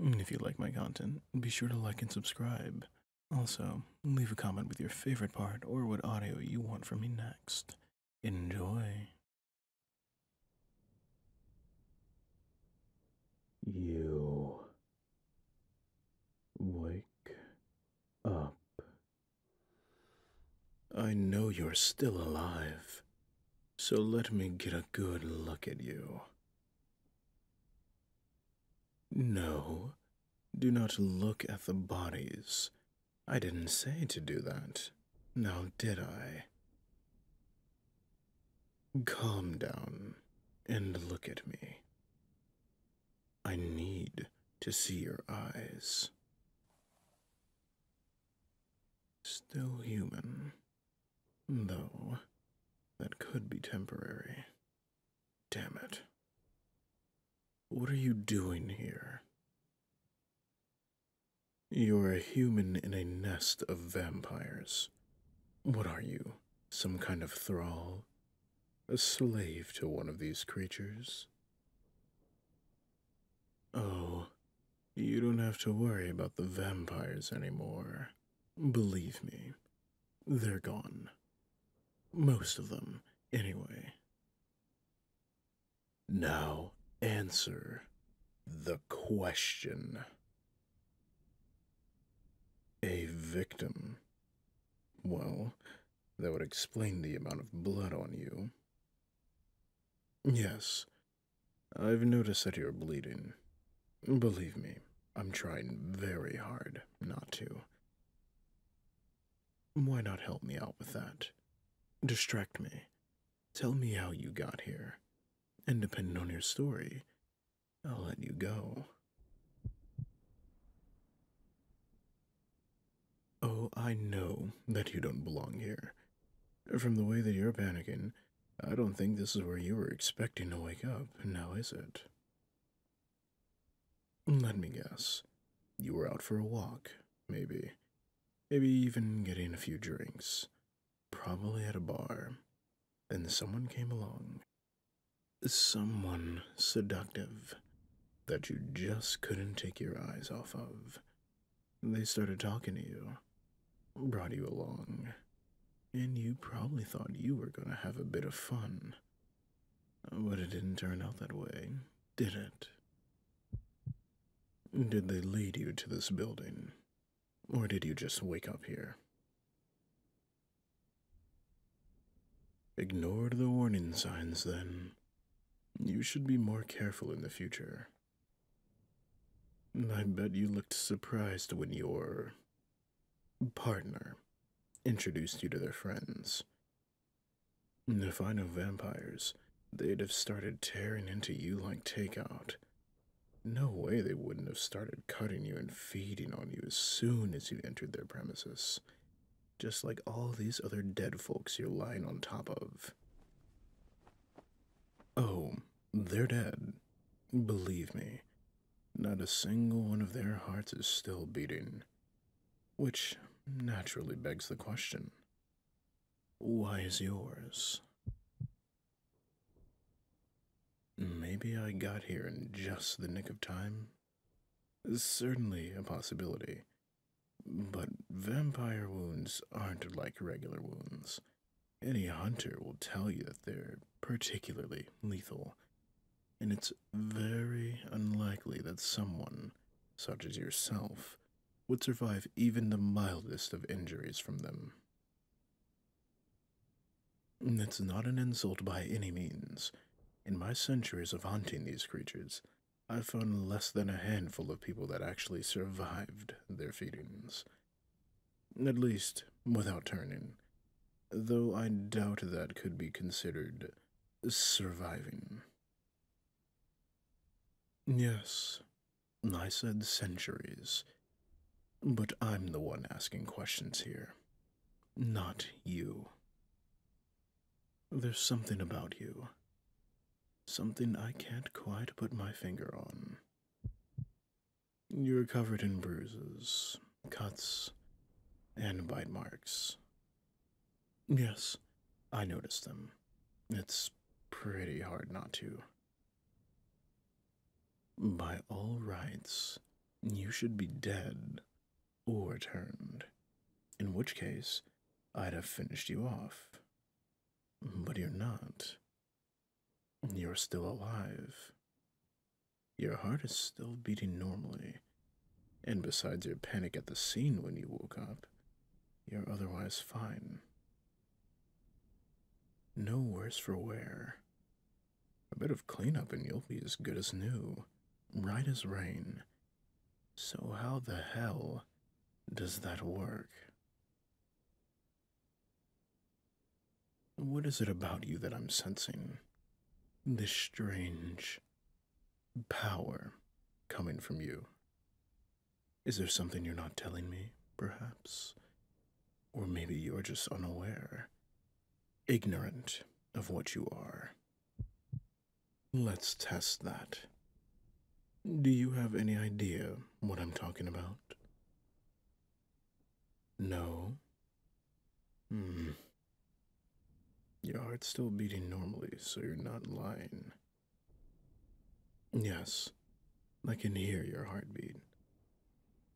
If you like my content, be sure to like and subscribe. Also, leave a comment with your favorite part or what audio you want from me next. Enjoy. You wake up. I know you're still alive, so let me get a good look at you. No, do not look at the bodies. I didn't say to do that, now did I? Calm down and look at me. I need to see your eyes. Still human, Though, that could be temporary. Damn it. What are you doing here? You're a human in a nest of vampires. What are you? Some kind of thrall? A slave to one of these creatures? Oh, you don't have to worry about the vampires anymore. Believe me, they're gone. Most of them, anyway. Now answer the question. A victim. Well, that would explain the amount of blood on you. Yes, I've noticed that you're bleeding. Believe me, I'm trying very hard not to. Why not help me out with that? Distract me. Tell me how you got here. And depending on your story, I'll let you go. Oh, I know that you don't belong here. From the way that you're panicking, I don't think this is where you were expecting to wake up, now is it? Let me guess. You were out for a walk, maybe. Maybe even getting a few drinks. Probably at a bar. Then someone came along. Someone seductive that you just couldn't take your eyes off of. They started talking to you, brought you along, and you probably thought you were going to have a bit of fun. But it didn't turn out that way, did it? Did they lead you to this building? Or did you just wake up here? Ignored the warning signs then. You should be more careful in the future. I bet you looked surprised when your partner introduced you to their friends. If I know vampires, they'd have started tearing into you like takeout. No way they wouldn't have started cutting you and feeding on you as soon as you entered their premises, just like all these other dead folks you're lying on top of. Oh, they're dead. Believe me, not a single one of their hearts is still beating. Which naturally begs the question why is yours? Maybe I got here in just the nick of time? Certainly a possibility. But vampire wounds aren't like regular wounds. Any hunter will tell you that they're particularly lethal, and it's very unlikely that someone, such as yourself, would survive even the mildest of injuries from them. It's not an insult by any means. In my centuries of hunting these creatures, I've found less than a handful of people that actually survived their feedings. At least, without turning. Though I doubt that could be considered surviving. Yes, I said centuries. But I'm the one asking questions here, not you. There's something about you. Something I can't quite put my finger on. You are covered in bruises, cuts, and bite marks. Yes, I noticed them. It's pretty hard not to. By all rights, you should be dead or turned, in which case I'd have finished you off. But you're not. You're still alive. Your heart is still beating normally, and besides your panic at the scene when you woke up, you're otherwise fine. No worse for wear. A bit of clean up and you'll be as good as new, right as rain. So, how the hell does that work? What is it about you that I'm sensing? This strange power coming from you. Is there something you're not telling me, perhaps? Or maybe you're just unaware, ignorant of what you are. Let's test that. Do you have any idea what I'm talking about? No. Hmm. Your heart's still beating normally, so you're not lying. Yes, I can hear your heartbeat.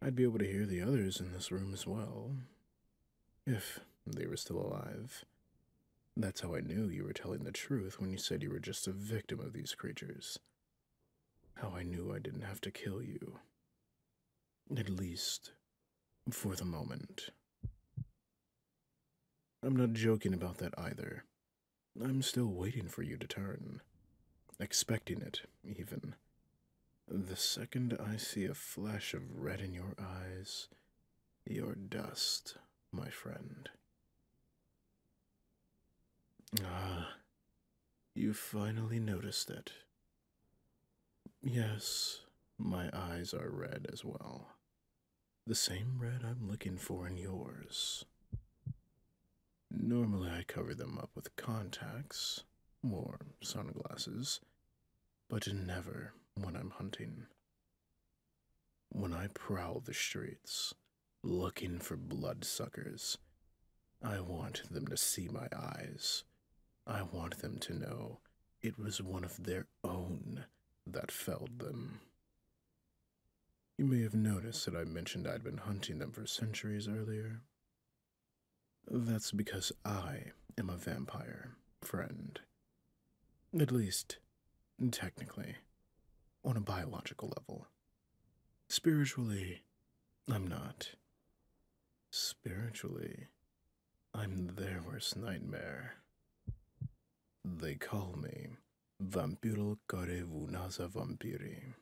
I'd be able to hear the others in this room as well, if they were still alive. That's how I knew you were telling the truth when you said you were just a victim of these creatures. How I knew I didn't have to kill you. At least, for the moment. I'm not joking about that either. I'm still waiting for you to turn. Expecting it, even. The second I see a flash of red in your eyes, you're dust, my friend. Ah, you finally noticed it. Yes, my eyes are red as well. The same red I'm looking for in yours. Normally, I cover them up with contacts or sunglasses, but never when I'm hunting. When I prowl the streets, looking for bloodsuckers. I want them to see my eyes. I want them to know it was one of their own that felled them. You may have noticed that I mentioned I'd been hunting them for centuries earlier. That's because I am a vampire, friend. At least, Technically, on a biological level. Spiritually, I'm not. Spiritually, I'm their worst nightmare. They call me Vampirul Care Vunasa Vampiri.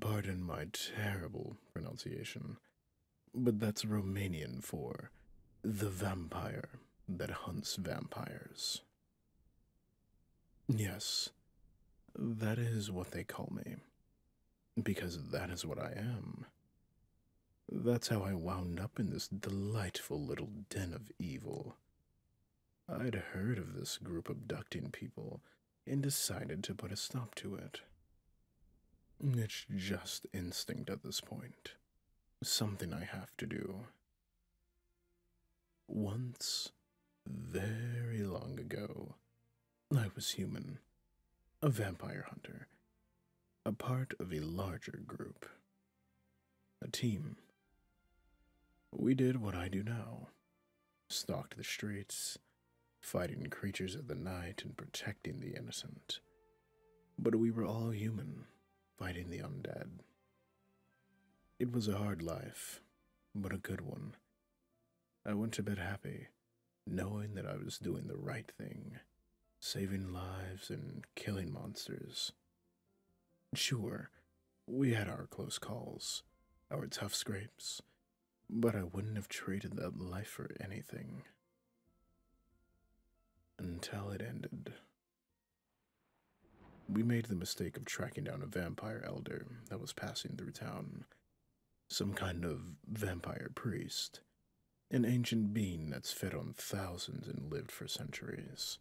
Pardon my terrible pronunciation, but that's Romanian for the vampire that hunts vampires. Yes, that is what they call me. Because that is what I am. That's how I wound up in this delightful little den of evil. I'd heard of this group abducting people and decided to put a stop to it. It's just instinct at this point, something I have to do. Once, very long ago, I was human, a vampire hunter, a part of a larger group, a team. We did what I do now stalked the streets, fighting creatures of the night and protecting the innocent. But we were all human, fighting the undead. It was a hard life, but a good one. I went to bed happy, knowing that I was doing the right thing, saving lives and killing monsters. Sure, we had our close calls, our tough scrapes, but I wouldn't have traded that life for anything. Until it ended we made the mistake of tracking down a vampire elder that was passing through town. Some kind of vampire priest. An ancient being that's fed on thousands and lived for centuries.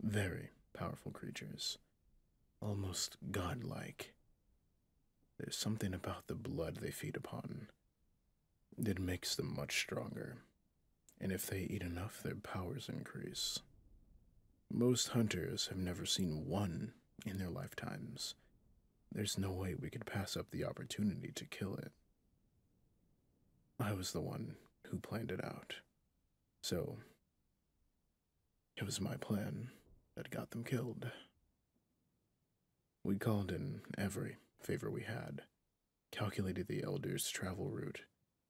Very powerful creatures. Almost godlike. There's something about the blood they feed upon. that makes them much stronger and if they eat enough, their powers increase. Most hunters have never seen one in their lifetimes. There's no way we could pass up the opportunity to kill it. I was the one who planned it out. So, it was my plan that got them killed. We called in every favor we had, calculated the elder's travel route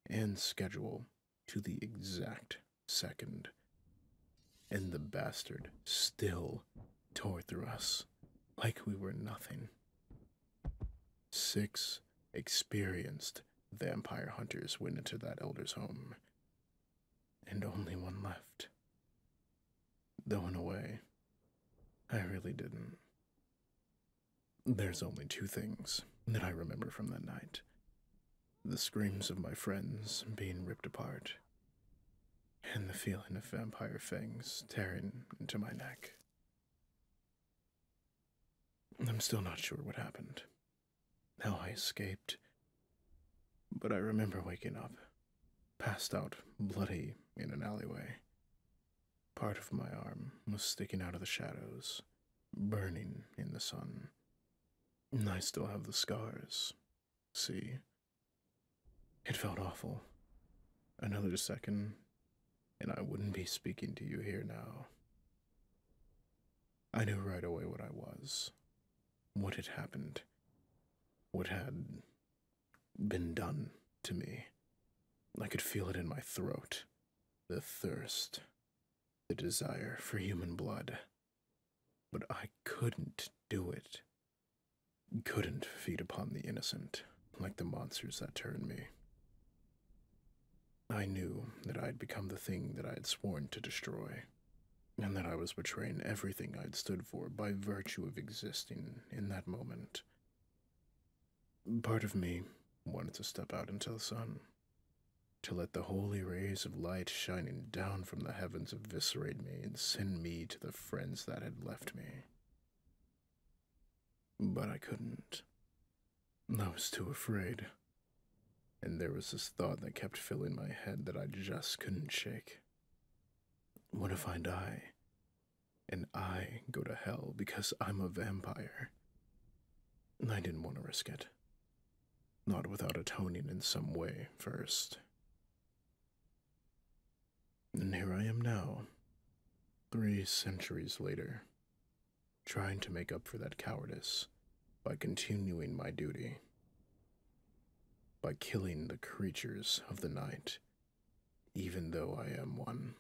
and schedule to the exact second. And the bastard still tore through us like we were nothing. Six experienced vampire hunters went into that elder's home, and only one left. Though, in a way, I really didn't. There's only two things that I remember from that night the screams of my friends being ripped apart, and the feeling of vampire fangs tearing into my neck. I'm still not sure what happened, how I escaped, but I remember waking up, passed out bloody in an alleyway, Part of my arm was sticking out of the shadows, burning in the sun. I still have the scars. See? It felt awful. Another second, and I wouldn't be speaking to you here now. I knew right away what I was, what had happened, what had been done to me. I could feel it in my throat the thirst, the desire for human blood. But I couldn't do it. Couldn't feed upon the innocent like the monsters that turned me. I knew that I had become the thing that I had sworn to destroy, and that I was betraying everything I had stood for by virtue of existing in that moment. Part of me wanted to step out into the sun, to let the holy rays of light shining down from the heavens eviscerate me and send me to the friends that had left me. But I couldn't. I was too afraid. And there was this thought that kept filling my head that I just couldn't shake. What if I die? and I go to hell because I'm a vampire. I didn't want to risk it. Not without atoning in some way first. And here I am now, three centuries later, trying to make up for that cowardice by continuing my duty, by killing the creatures of the night even though I am one.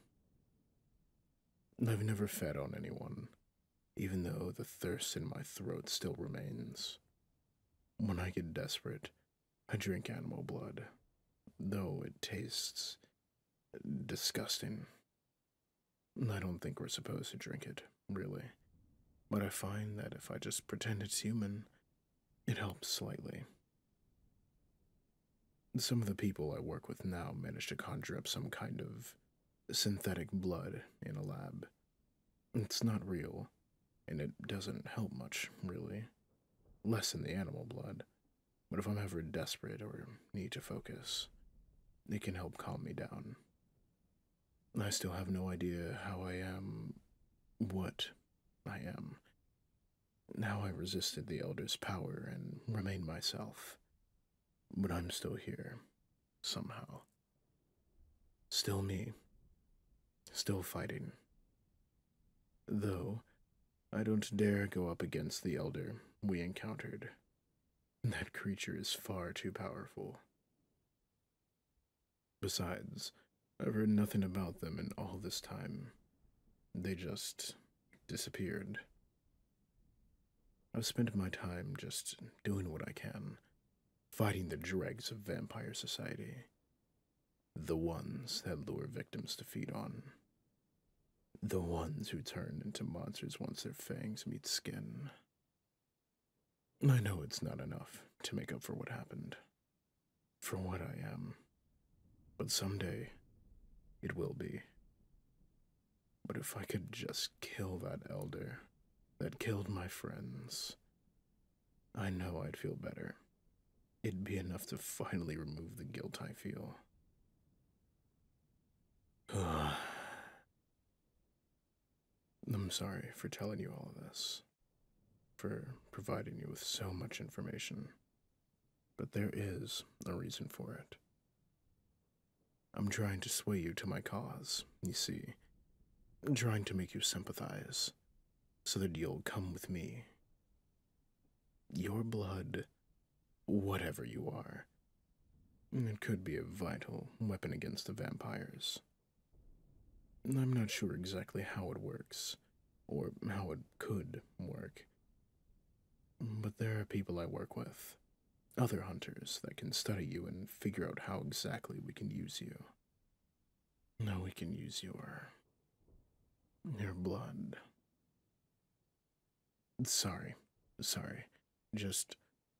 I've never fed on anyone, even though the thirst in my throat still remains. When I get desperate, I drink animal blood, though it tastes disgusting. I don't think we're supposed to drink it, really, but I find that if I just pretend it's human, it helps slightly. Some of the people I work with now manage to conjure up some kind of synthetic blood in a lab. It's not real, and it doesn't help much, really. Less than the animal blood. But if I'm ever desperate or need to focus, it can help calm me down. I still have no idea how I am, what I am. Now I resisted the elder's power and remained myself. But I'm still here, somehow. Still me. Still fighting. Though, I don't dare go up against the elder we encountered. That creature is far too powerful. Besides, I've heard nothing about them in all this time. They just disappeared. I've spent my time just doing what I can, fighting the dregs of vampire society. The ones that lure victims to feed on. The ones who turn into monsters once their fangs meet skin. I know it's not enough to make up for what happened. For what I am. But someday, it will be. But if I could just kill that elder that killed my friends, I know I'd feel better. It'd be enough to finally remove the guilt I feel. I'm sorry for telling you all of this, for providing you with so much information. But there is a reason for it. I'm trying to sway you to my cause, you see. I'm trying to make you sympathize, so that you'll come with me. Your blood, whatever you are, it could be a vital weapon against the vampires. I'm not sure exactly how it works, or how it could work. But there are people I work with, other hunters that can study you and figure out how exactly we can use you. Now we can use your. your blood. Sorry, sorry. Just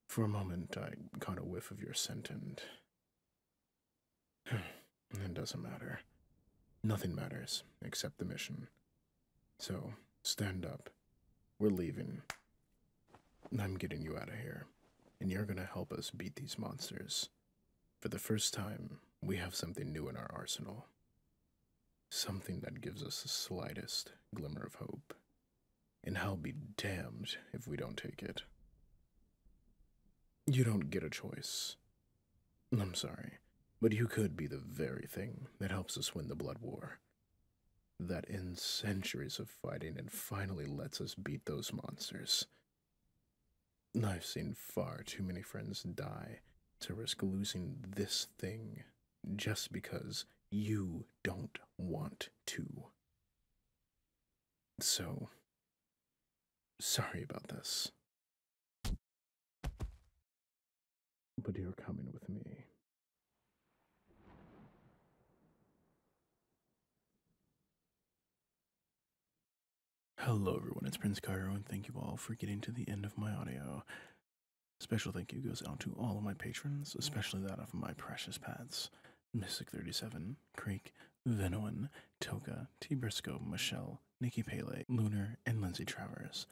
for a moment, I caught a whiff of your scent and. It doesn't matter. Nothing matters except the mission. So, stand up. We're leaving. I'm getting you out of here, and you're gonna help us beat these monsters. For the first time, we have something new in our arsenal. Something that gives us the slightest glimmer of hope. And I'll be damned if we don't take it. You don't get a choice. I'm sorry, but you could be the very thing that helps us win the Blood War. That ends centuries of fighting and finally lets us beat those monsters. I've seen far too many friends die to risk losing this thing just because you don't want to. So, sorry about this. But you're coming with me. Hello, everyone. It's Prince Cairo, and thank you all for getting to the end of my audio. Special thank you goes out to all of my patrons, especially that of my precious paths, Mystic37, Creek, Venoin, Toka, T. Briscoe, Michelle, Nikki Pele, Lunar, and Lindsay Travers.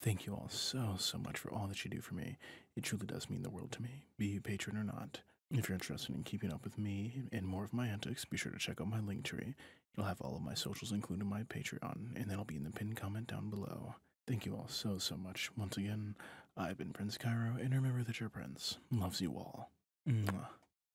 Thank you all so, so much for all that you do for me. It truly does mean the world to me, be you patron or not. If you're interested in keeping up with me and more of my antics, be sure to check out my link tree. You'll have all of my socials, including my Patreon, and that'll be in the pinned comment down below. Thank you all so, so much. Once again, I've been Prince Cairo, and remember that your prince loves you all. Mwah.